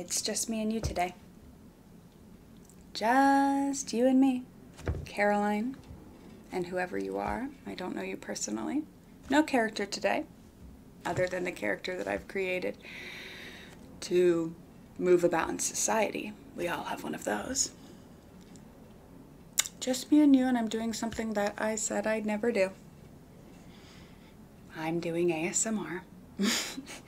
It's just me and you today. Just you and me. Caroline and whoever you are. I don't know you personally. No character today, other than the character that I've created to move about in society. We all have one of those. Just me and you, and I'm doing something that I said I'd never do. I'm doing ASMR.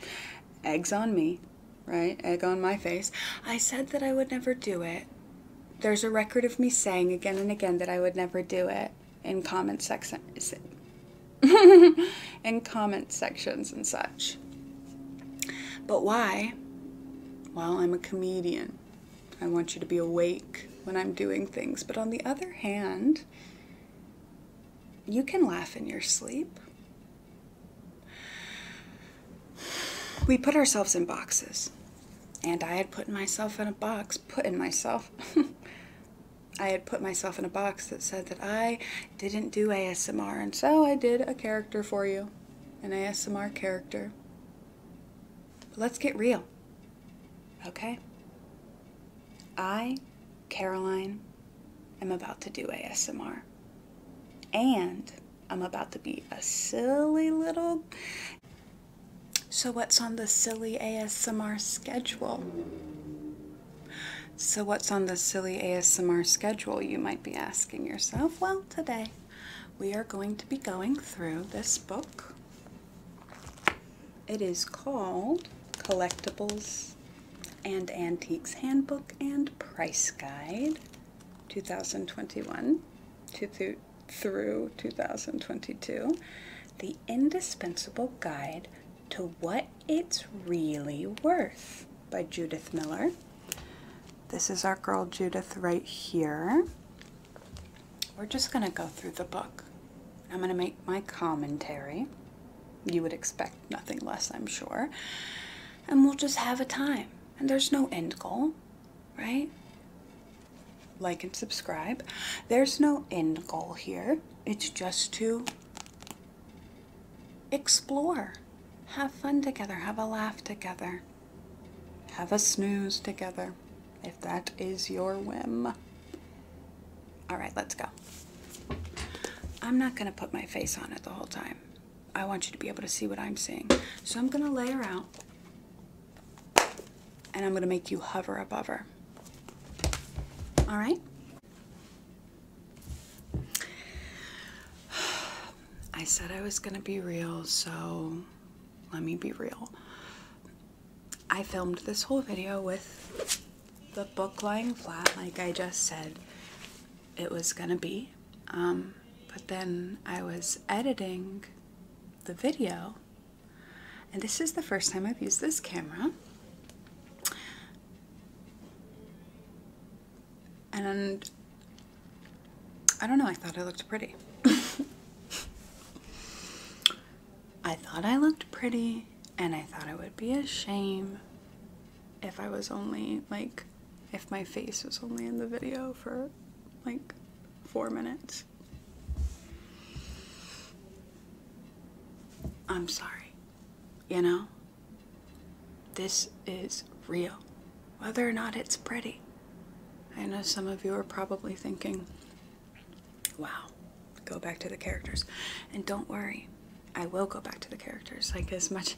Eggs on me, right? Egg on my face. I said that I would never do it. There's a record of me saying again and again that I would never do it in comment section in comment sections and such. But why? Well, I'm a comedian. I want you to be awake when I'm doing things. But on the other hand, you can laugh in your sleep. We put ourselves in boxes. And I had put myself in a box, put in myself. I had put myself in a box that said that I didn't do ASMR, and so I did a character for you, an ASMR character. let's get real, okay? I, Caroline, am about to do ASMR. And I'm about to be a silly little. So, what's on the silly ASMR schedule? So, what's on the silly ASMR schedule, you might be asking yourself? Well, today we are going to be going through this book it is called Collectibles and Antiques Handbook and Price Guide 2021 to through 2022, the indispensable guide to what it's really worth by Judith Miller. This is our girl Judith right here. We're just going to go through the book. I'm going to make my commentary. You would expect nothing less, I'm sure. And we'll just have a time. And there's no end goal, right? Like and subscribe. There's no end goal here. It's just to explore, have fun together, have a laugh together, have a snooze together, if that is your whim. All right, let's go. I'm not going to put my face on it the whole time. I want you to be able to see what I'm seeing. So I'm going to lay her out. And I'm going to make you hover above her. All right? I said I was going to be real, so let me be real. I filmed this whole video with the book lying flat, like I just said it was gonna be. Um, but then I was editing the video, and this is the first time I've used this camera. And I don't know, I thought it looked pretty. I thought I looked pretty, and I thought it would be a shame if I was only like, if my face was only in the video for like four minutes. I'm sorry. You know? This is real, whether or not it's pretty. I know some of you are probably thinking, Wow. Go back to the characters. And don't worry, I will go back to the characters. Like, as much.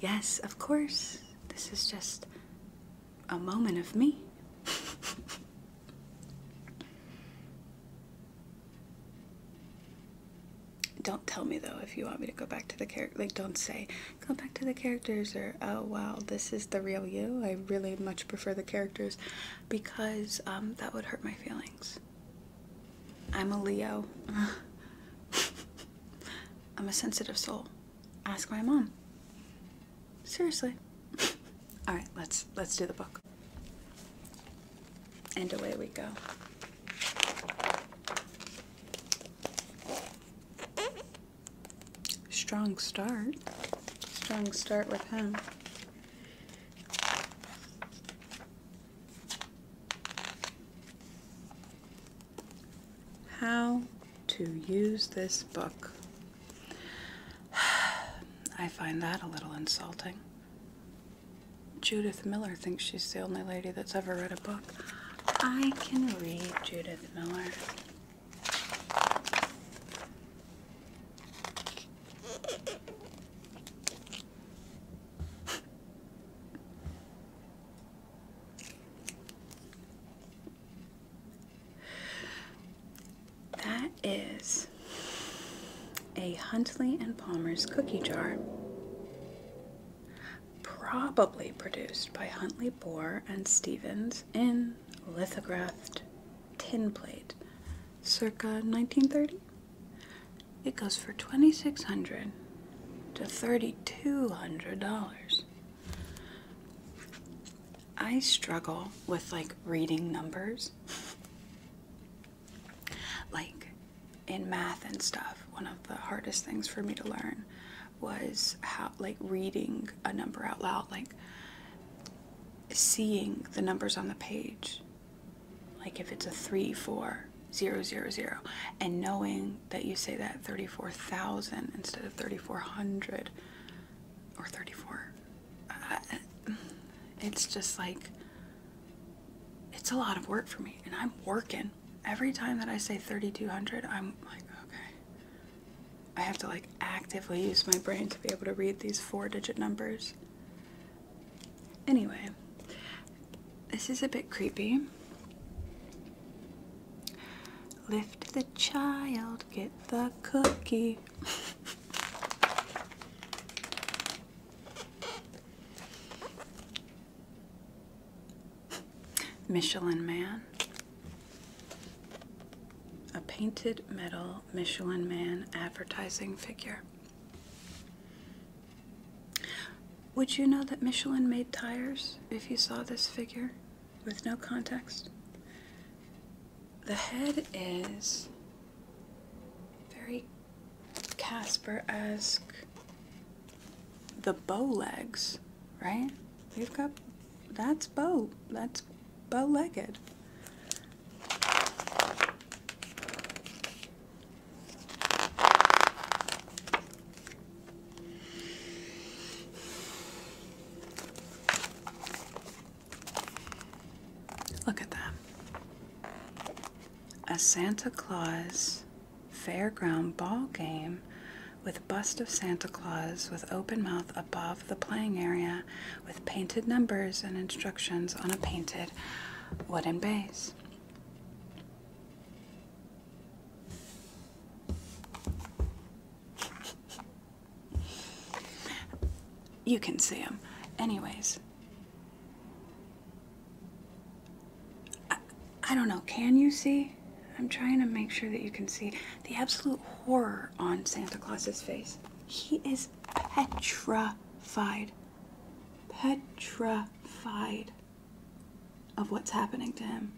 Yes, of course. This is just a moment of me. don't tell me though if you want me to go back to the character. Like, don't say, go back to the characters or, oh wow, this is the real you. I really much prefer the characters because um, that would hurt my feelings. I'm a Leo. I'm a sensitive soul. Ask my mom. Seriously. All right, let's let's do the book. And away we go. Strong start. Strong start with him. How to use this book. I find that a little insulting. Judith Miller thinks she's the only lady that's ever read a book. I can read Judith Miller. That is a Huntley and Palmer's cookie jar, probably produced by Huntley Bohr and Stevens in lithographed tin plate circa 1930. It goes for $2,600 to $3,200. I struggle with like reading numbers. like in math and stuff, one of the hardest things for me to learn was how like reading a number out loud, like seeing the numbers on the page like if it's a 3400 zero, zero, zero, and knowing that you say that 34,000 instead of 3400 or 34 uh, it's just like it's a lot of work for me and I'm working every time that I say 3200 I'm like okay I have to like actively use my brain to be able to read these four digit numbers Anyway, this is a bit creepy. Lift the child, get the cookie. Michelin Man. A painted metal Michelin Man advertising figure. Would you know that Michelin made tires if you saw this figure with no context? The head is very Casper esque. The bow legs, right? you have got that's bow, that's bow legged. Look at that. A Santa Claus fairground ball game with bust of Santa Claus with open mouth above the playing area with painted numbers and instructions on a painted wooden base. You can see them. Anyways, I, don't know. Can you see? I'm trying to make sure that you can see the absolute horror on Santa Claus's face. He is petrified petrified of what's happening to him.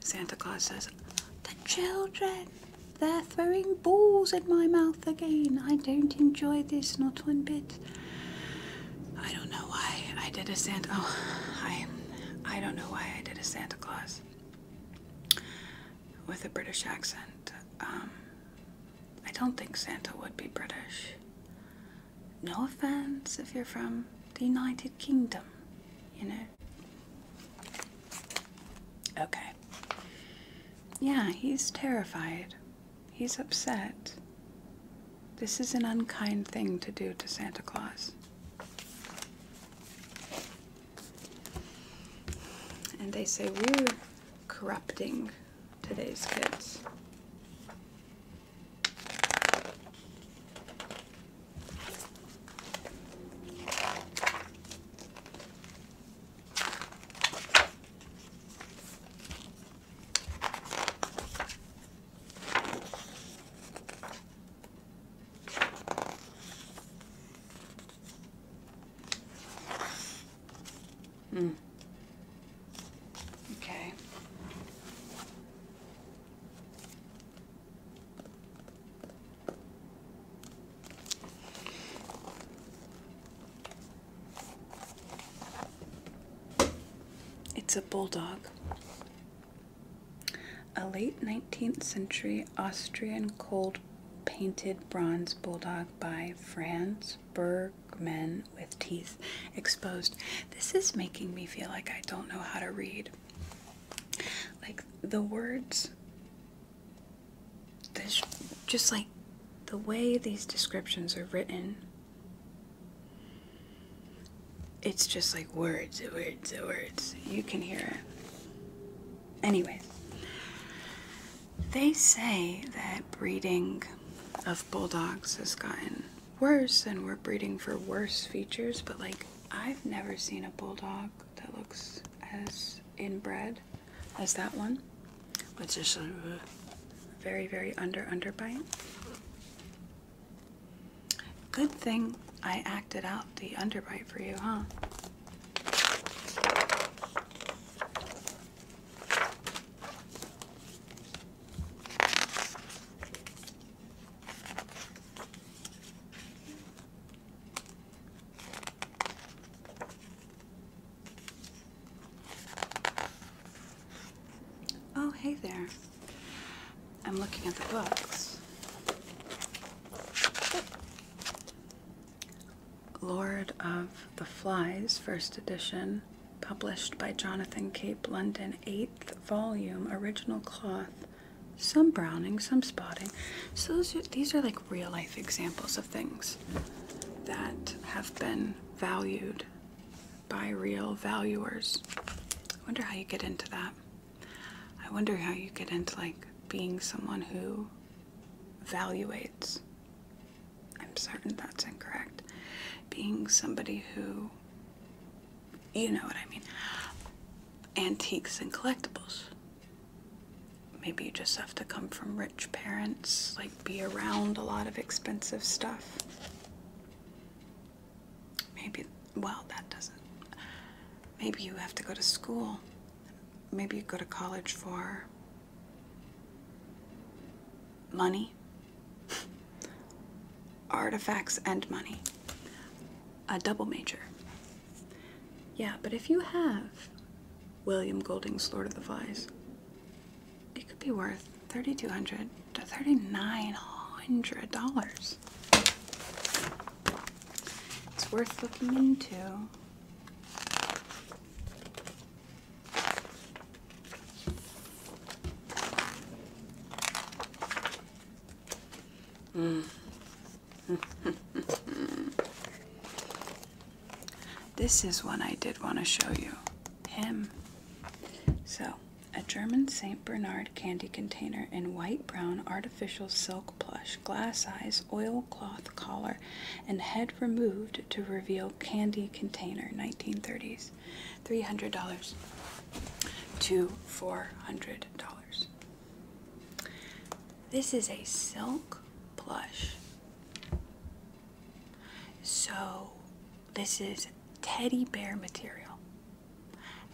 Santa Claus says, The children! They're throwing balls at my mouth again. I don't enjoy this, not one bit. I don't know why I did a Santa. Oh, I, I don't know why I did a Santa Claus with a British accent. Um, I don't think Santa would be British. No offense if you're from the United Kingdom, you know. Okay. Yeah, he's terrified. He's upset. This is an unkind thing to do to Santa Claus. And they say we're corrupting today's kids. Hmm. Okay. It's a bulldog. A late 19th century Austrian cold painted bronze bulldog by Franz Bergman with teeth exposed. This is making me feel like I don't know how to read. Like the words, just like the way these descriptions are written. It's just like words, words, words. You can hear it. Anyways, they say that breeding of bulldogs has gotten worse and we're breeding for worse features, but like I've never seen a bulldog that looks as inbred as that one, which is very, very under underbite. Good thing I acted out the underbite for you, huh? Oh, hey there. I'm looking at the books. Lord of the Flies, first edition, published by Jonathan Cape London, eighth volume, original cloth, some browning, some spotting. So these are like real life examples of things that have been valued by real valuers. I wonder how you get into that. I wonder how you get into like being someone who valuates. I'm certain that's incorrect. Being somebody who, you know what I mean, antiques and collectibles. Maybe you just have to come from rich parents, like be around a lot of expensive stuff. Maybe, well, that doesn't. Maybe you have to go to school maybe you go to college for money, artifacts, and money. A double major. Yeah, but if you have William Golding's Lord of the Flies, it could be worth 3200 to $3,900. It's worth looking into. this is one I did want to show you. Him. So, a German St. Bernard candy container in white brown artificial silk plush, glass eyes, oilcloth collar and head removed to reveal candy container 1930s $300 to $400. This is a silk plush. So this is teddy bear material.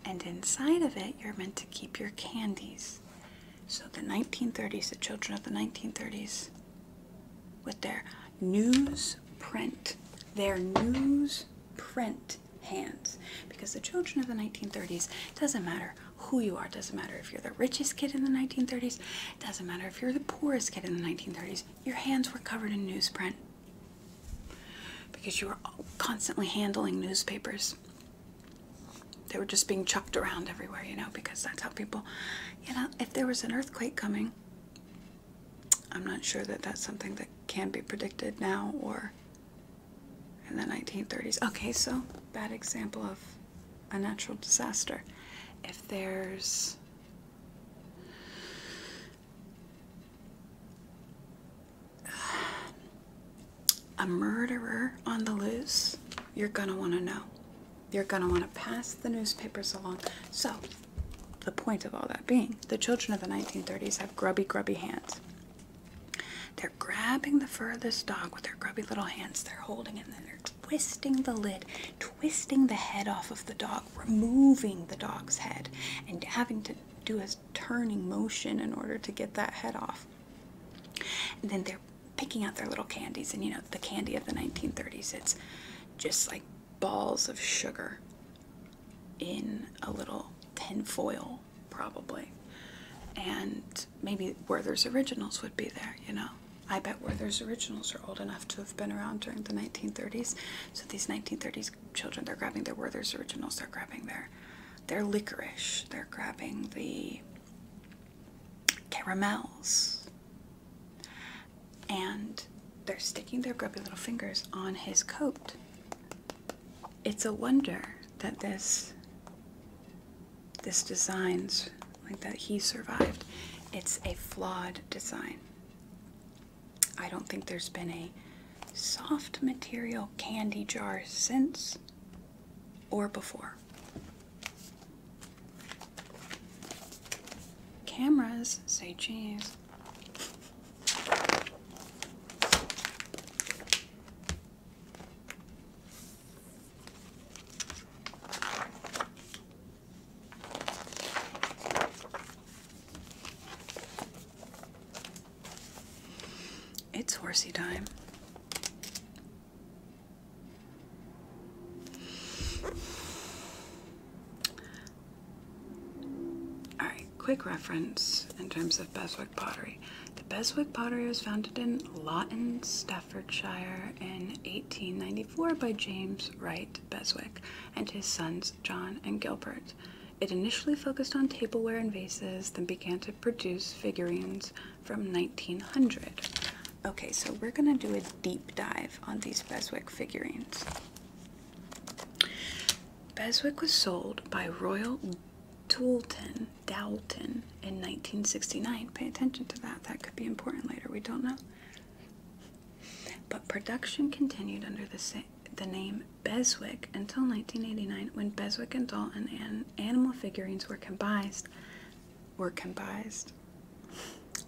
And inside of it, you're meant to keep your candies. So the 1930s, the children of the 1930s, with their newsprint, their newsprint hands. Because the children of the 1930s, it doesn't matter who you are, It doesn't matter if you're the richest kid in the 1930s, It doesn't matter if you're the poorest kid in the 1930s, your hands were covered in newsprint. Because you were constantly handling newspapers they were just being chucked around everywhere, you know, because that's how people, you know, if there was an earthquake coming, I'm not sure that that's something that can be predicted now or in the 1930s. Okay, so bad example of a natural disaster. If there's a murderer on the loose, you're going to want to know. You're going to want to pass the newspapers along. So, the point of all that being, the children of the 1930s have grubby, grubby hands. They're grabbing the fur of this dog with their grubby little hands. They're holding it and then they're twisting the lid, twisting the head off of the dog, removing the dog's head, and having to do a turning motion in order to get that head off. And then they're picking out their little candies and you know the candy of the 1930s it's just like balls of sugar in a little tin foil probably and maybe werther's originals would be there you know i bet werther's originals are old enough to have been around during the 1930s so these 1930s children they're grabbing their werther's originals they're grabbing their their licorice they're grabbing the caramels. And they're sticking their grubby little fingers on his coat. It's a wonder that this this design's like that he survived. It's a flawed design. I don't think there's been a soft material candy jar since or before. Cameras say cheese. It's horsey time. All right, quick reference in terms of Beswick pottery. The Beswick pottery was founded in Lawton, Staffordshire in 1894 by James Wright Beswick and his sons John and Gilbert. It initially focused on tableware and vases, then began to produce figurines, from 1900. Okay, so we're gonna do a deep dive on these Beswick figurines. Beswick was sold by Royal Doulton, Dalton in 1969. Pay attention to that, that could be important later, we don't know. But production continued under the, the name Beswick until 1989 when Beswick and Dalton and animal figurines were combined were combined,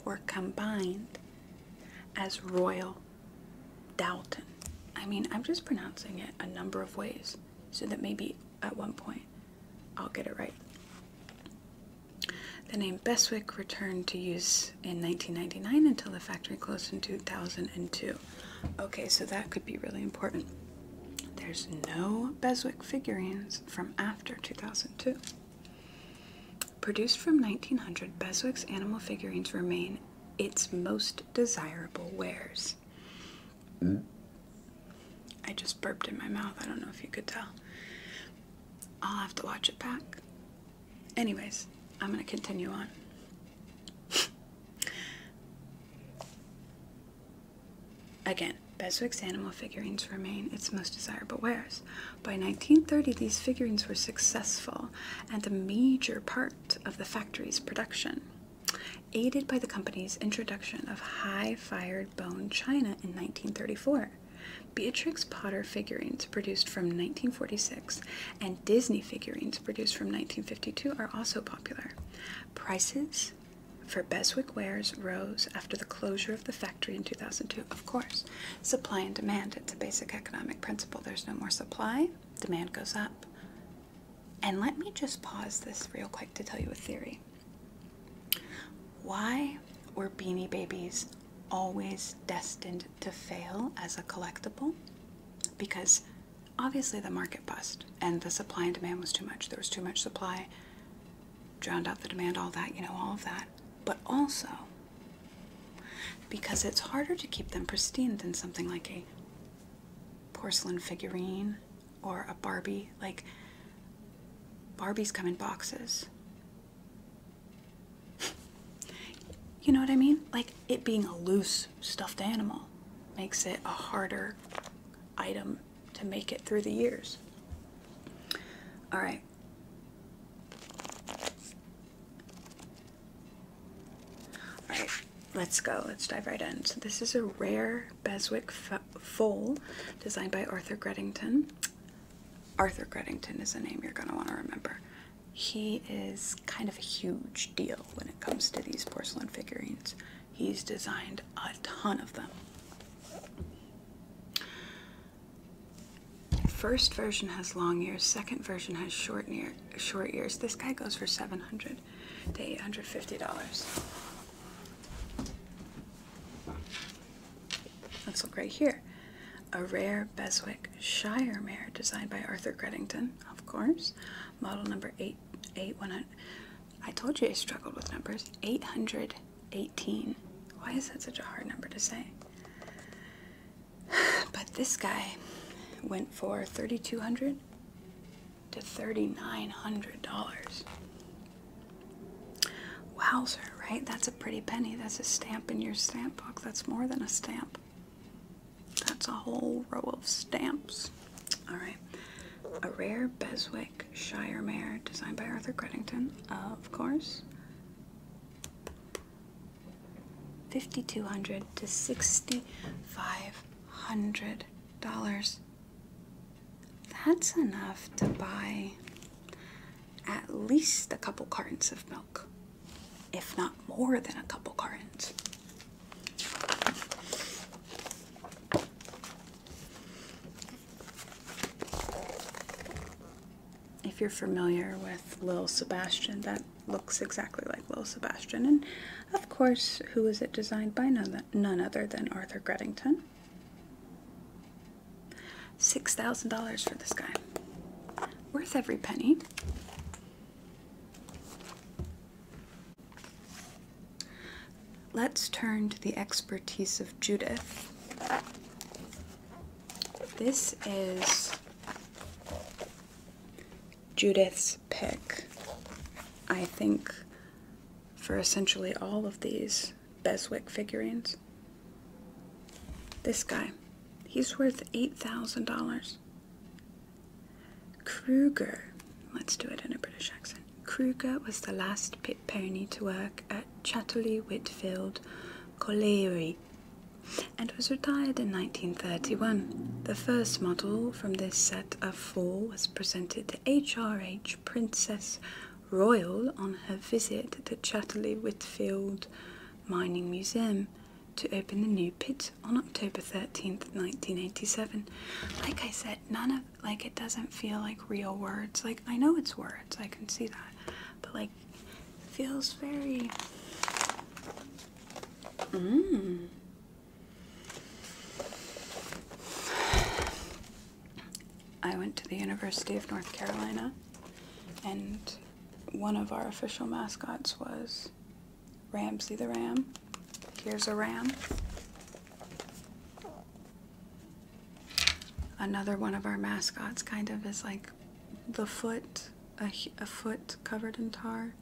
were combined as Royal Dalton. I mean, I'm just pronouncing it a number of ways so that maybe at one point I'll get it right. The name Beswick returned to use in 1999 until the factory closed in 2002. Okay, so that could be really important. There's no Beswick figurines from after 2002. Produced from 1900, Beswick's animal figurines remain its most desirable wares. Mm. I just burped in my mouth. I don't know if you could tell. I'll have to watch it back. Anyways, I'm going to continue on. Again, Beswick's animal figurines remain its most desirable wares. By 1930, these figurines were successful and a major part of the factory's production. Aided by the company's introduction of high fired bone china in 1934, Beatrix Potter figurines produced from 1946 and Disney figurines produced from 1952 are also popular. Prices for Beswick wares rose after the closure of the factory in 2002. Of course, supply and demand. It's a basic economic principle. There's no more supply, demand goes up. And let me just pause this real quick to tell you a theory. Why were beanie babies always destined to fail as a collectible? Because obviously the market bust and the supply and demand was too much. There was too much supply, drowned out the demand, all that, you know, all of that. But also because it's harder to keep them pristine than something like a porcelain figurine or a Barbie. Like, Barbies come in boxes. you know what I mean? Like, it being a loose, stuffed animal makes it a harder item to make it through the years. All right. All right, let's go. Let's dive right in. So this is a rare Beswick foal designed by Arthur Gredington. Arthur Gredington is a name you're going to want to remember. He is kind of a huge deal when it comes to these porcelain figurines. He's designed a ton of them. First version has long ears, second version has short ear, short ears. This guy goes for 700 to $850. Let's look right here. A rare Beswick Shire mare designed by Arthur Greddington, of course. Model number 8, I told you I struggled with numbers. 818. Why is that such a hard number to say? But this guy went for 3200 to $3,900. Wowzer, right? That's a pretty penny. That's a stamp in your stamp book. That's more than a stamp. That's a whole row of stamps. All right a rare Beswick Shire mare designed by Arthur Credington, of course. 5200 to 6500 dollars. That's enough to buy at least a couple cartons of milk, if not more than a couple cartons. If you're familiar with Lil Sebastian, that looks exactly like Lil Sebastian. And of course, who was it designed by? None, other than Arthur Grettington. $6,000 for this guy. Worth every penny. Let's turn to the expertise of Judith. This is Judith's pick, I think, for essentially all of these Beswick figurines. This guy, he's worth $8,000. Kruger, let's do it in a British accent. Kruger was the last pit pony to work at Chatterley Whitfield Colliery and was retired in 1931. The first model from this set of four was presented to HRH Princess Royal on her visit to Chatterley Whitfield Mining Museum to open the new pit on October 13th, 1987. Like I said, none of like it doesn't feel like real words. Like I know it's words, I can see that. But like feels very mm. I went to the University of North Carolina and one of our official mascots was Ramsey the Ram Here's a ram. Another one of our mascots kind of is like the foot, a, foot covered in tar.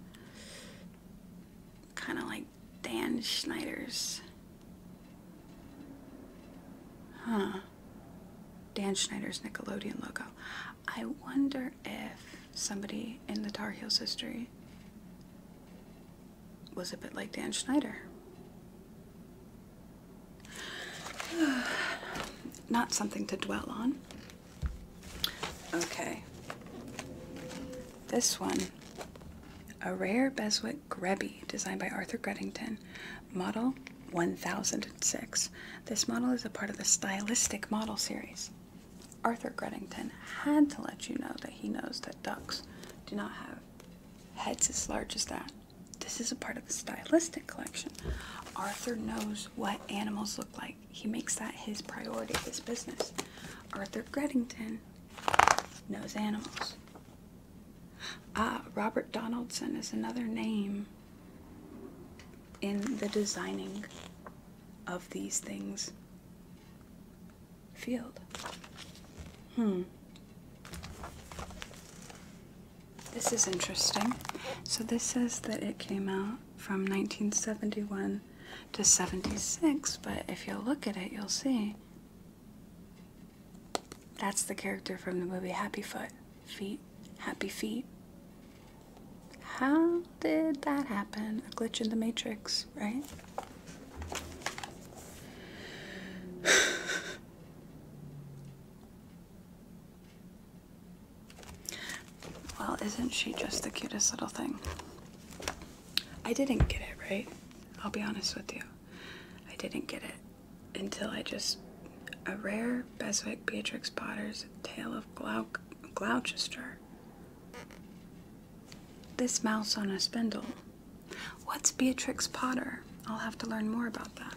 Kind of like Dan Schneider's. Huh. Dan Schneider's Nickelodeon logo. I wonder if somebody in the Tar Heels history was a bit like Dan Schneider. Not something to dwell on. Okay. This one, a rare Beswick Grebbe designed by Arthur Greddington, model 1006. This model is a part of the stylistic model series. Arthur Greddington had to let you know that he knows that ducks do not have heads as large as that. This is a part of the stylistic collection. Arthur knows what animals look like. He makes that his priority, his business. Arthur Gredington knows animals. Ah, Robert Donaldson is another name in the designing of these things field. Hmm. This is interesting. So this says that it came out from 1971 to 76, but if you look at it, you'll see that's the character from the movie Happy Foot. Feet. Happy Feet. How did that happen? A glitch in the Matrix, right? well, isn't she just the cutest little thing? I didn't get it, right? I'll be honest with you. I didn't get it until I just. A rare Beswick Beatrix Potter's Tale of Glou Gloucester. This mouse on a spindle What's Beatrix Potter? I'll have to learn more about that.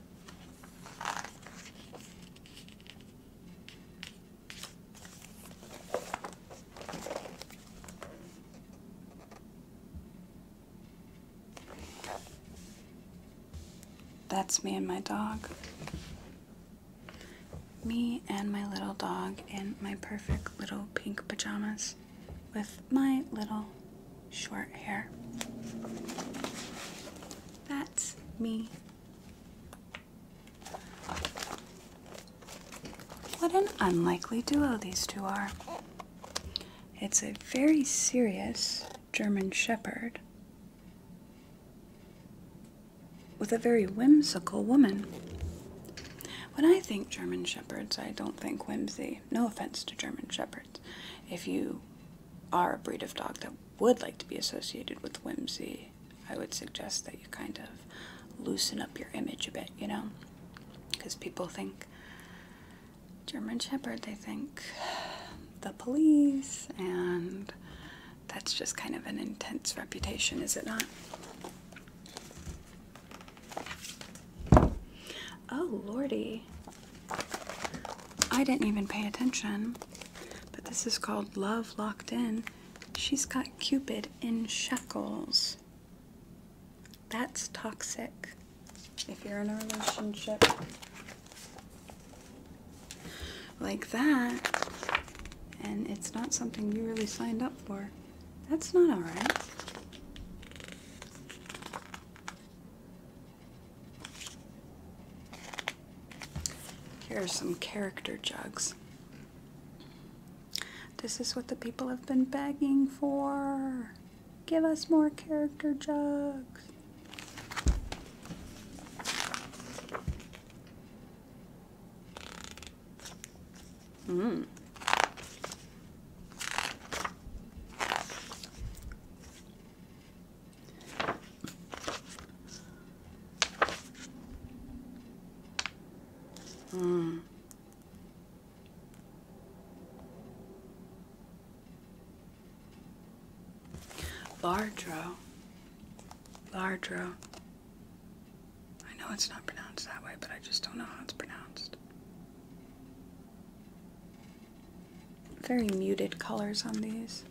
That's me and my dog. Me and my little dog in my perfect little pink pajamas with my little short hair. That's me. What an unlikely duo these two are. It's a very serious German Shepherd with a very whimsical woman. When I think German Shepherds, I don't think whimsy. No offense to German Shepherds. If you are a breed of dog that would like to be associated with whimsy, I would suggest that you kind of loosen up your image a bit, you know? Because people think German Shepherd, they think the police, and that's just kind of an intense reputation, is it not? Oh, Lordy. I didn't even pay attention, but this is called Love Locked In. She's got Cupid in shackles. That's toxic if you're in a relationship like that and it's not something you really signed up for. That's not alright. Here are some character jugs. This is what the people have been begging for. Give us more character jugs. Mmm. Mm. Bardro. Bardro. I know it's not pronounced that way, but I just don't know how it's pronounced. Very muted colors on these.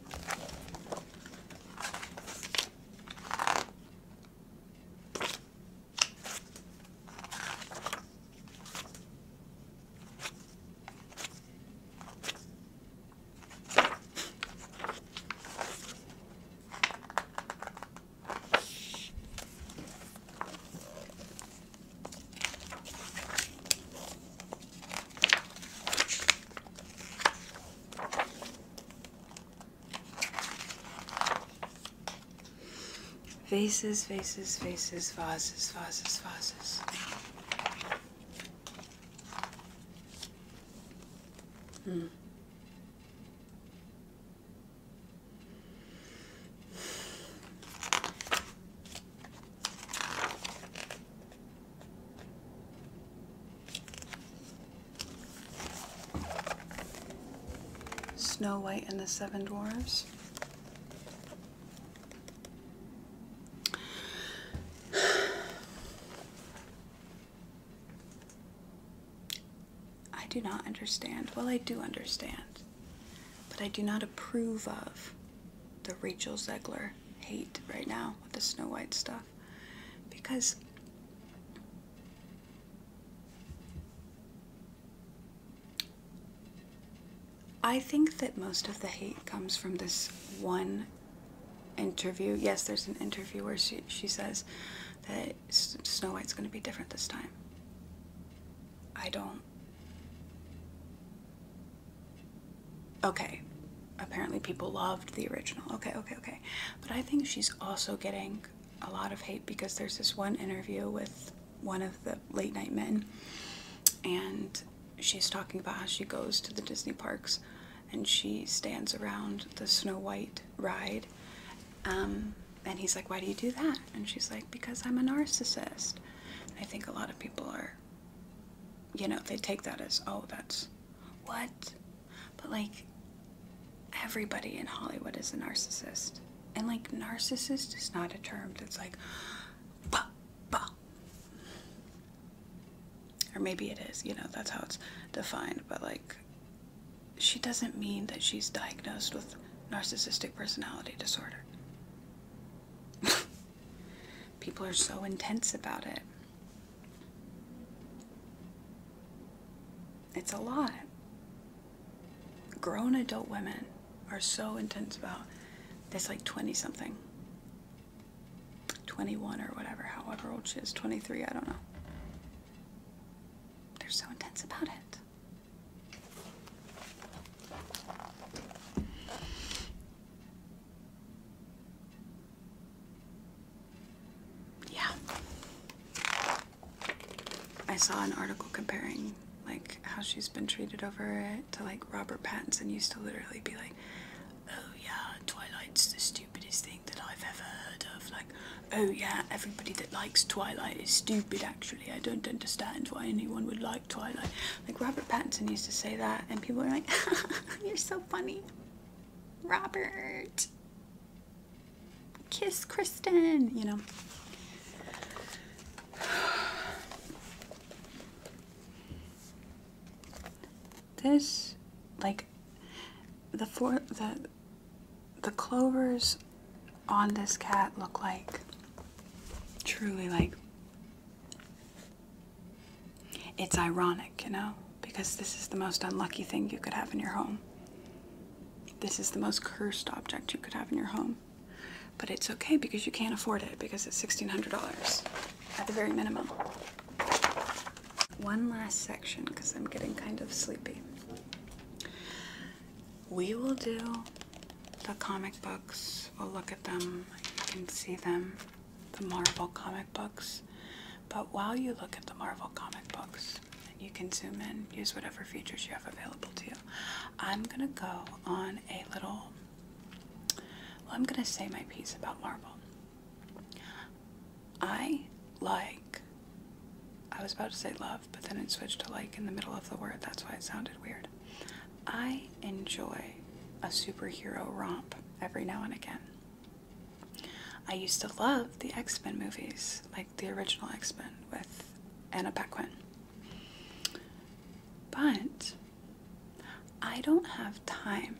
Vases, vases, vases, vases, vases, vases. Hmm. Snow White and the Seven Dwarfs. I do not understand. Well, I do understand but I do not approve of the Rachel Zegler hate right now with the Snow White stuff because I think that most of the hate comes from this one interview. Yes, there's an interview where she, she says that Snow White's going to be different this time. I don't okay. Apparently, people loved the original. Okay, okay, okay. But I think she's also getting a lot of hate because there's this one interview with one of the late night men, and she's talking about how she goes to the Disney parks and she stands around the Snow White ride. Um, and he's like, Why do you do that? And she's like, Because I'm a narcissist. I think a lot of people are, you know, they take that as, oh, that's what? But like, everybody in Hollywood is a narcissist. And like, narcissist is not a term that's like, bah, bah. Or maybe it is, you know, that's how it's defined, but like, she doesn't mean that she's diagnosed with narcissistic personality disorder. People are so intense about it. It's a lot. Grown adult women are so intense about this, like 20 something, 21 or whatever, however old she is, 23, I don't know. They're so intense about it. Yeah. I saw an article comparing like how she's been treated over it to like Robert Pattinson used to literally be like, oh yeah, Twilight's the stupidest thing that I've ever heard of. Like, oh yeah, everybody that likes Twilight is stupid actually. I don't understand why anyone would like Twilight. Like Robert Pattinson used to say that, and people are like, You're so funny. Robert. Kiss Kristen, you know. This, like, the four, the, the clovers on this cat look like truly like it's ironic, you know, because this is the most unlucky thing you could have in your home. This is the most cursed object you could have in your home. But it's okay because you can't afford it because it's $1,600 at the very minimum. One last section because I'm getting kind of sleepy we will do the comic books. We'll look at them. You can see them, the Marvel comic books. But while you look at the Marvel comic books, and you can zoom in, use whatever features you have available to you, I'm going to go on a little, well, I'm going to say my piece about Marvel. I like, I was about to say love, but then it switched to like in the middle of the word. That's why it sounded weird. I enjoy a superhero romp every now and again. I used to love the X Men movies, like the original X Men with Anna Paquin. But I don't have time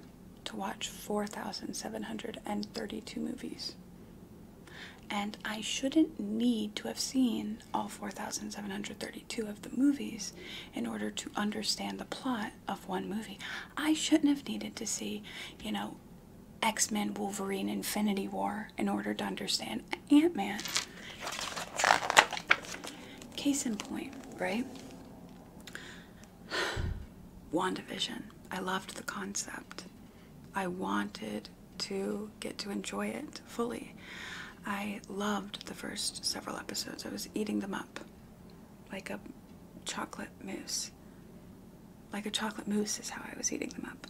to watch 4,732 movies. And I shouldn't need to have seen all 4,732 of the movies in order to understand the plot of one movie. I shouldn't have needed to see, you know, X Men, Wolverine, Infinity War in order to understand Ant Man. Case in point, right? WandaVision. I loved the concept. I wanted to get to enjoy it fully. I loved the first several episodes. I was eating them up like a chocolate mousse. Like a chocolate mousse is how I was eating them up.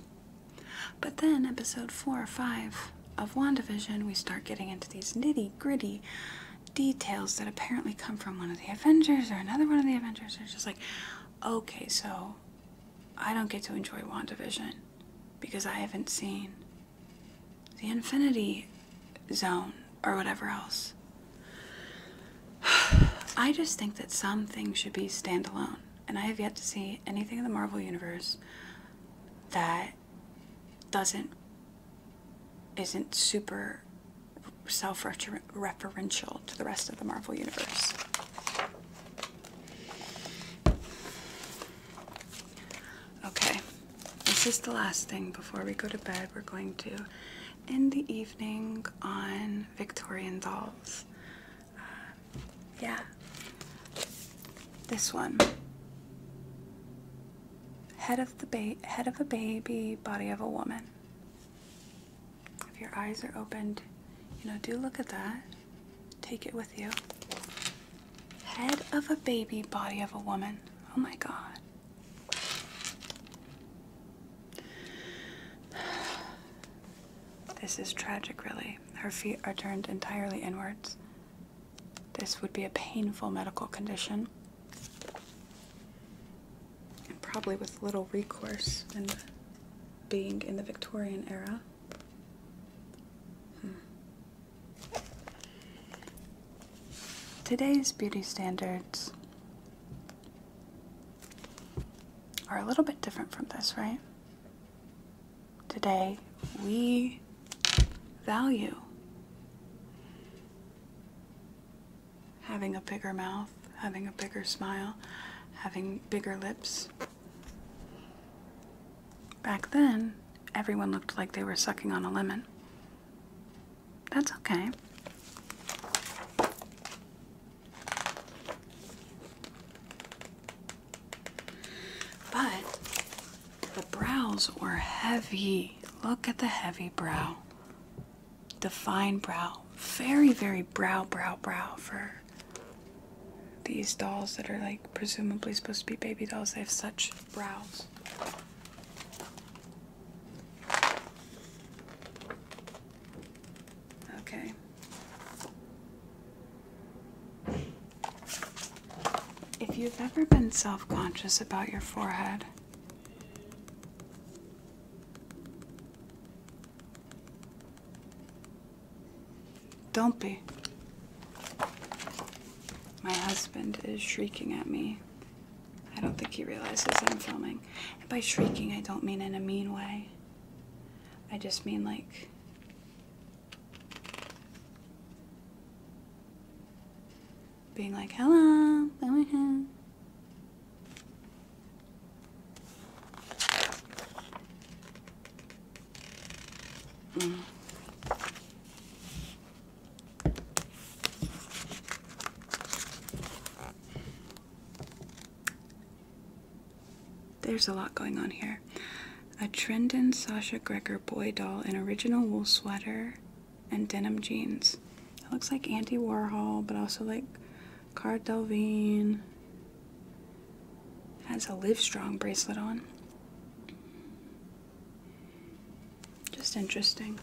But then, episode four or five of WandaVision, we start getting into these nitty gritty details that apparently come from one of the Avengers or another one of the Avengers. It's just like, okay, so I don't get to enjoy WandaVision because I haven't seen the infinity zone or whatever else. I just think that some things should be standalone, and I have yet to see anything in the Marvel Universe that doesn't isn't super self-referential to the rest of the Marvel Universe. Okay, this is the last thing before we go to bed. We're going to in the evening on Victorian dolls. Uh, yeah, this one. Head of the ba head of a baby, body of a woman. If your eyes are opened, you know, do look at that. Take it with you. Head of a baby, body of a woman. Oh my god. This is tragic, really. Her feet are turned entirely inwards. This would be a painful medical condition. And probably with little recourse And being in the Victorian era. Hmm. Today's beauty standards are a little bit different from this, right? Today, we value having a bigger mouth, having a bigger smile, having bigger lips, Back then, everyone looked like they were sucking on a lemon. That's okay. But the brows were heavy. Look at the heavy brow. The fine brow. Very, very brow, brow, brow for these dolls that are like presumably supposed to be baby dolls. They have such brows. Okay. If you've ever been self conscious about your forehead, don't be. My husband is shrieking at me. I don't think he realizes I'm filming. And by shrieking, I don't mean in a mean way. I just mean like. Being like, hello, hello. There's a lot going on here. A Trendon Sasha Greger boy doll in original wool sweater and denim jeans. It looks like Andy Warhol, but also like Cara Delvine. Has a Live Strong bracelet on. Just interesting.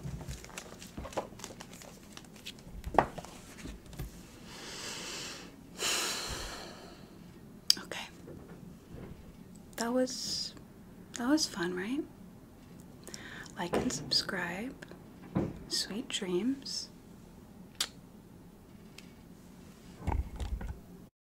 Okay. That was that was fun, right? Like and subscribe. Sweet dreams.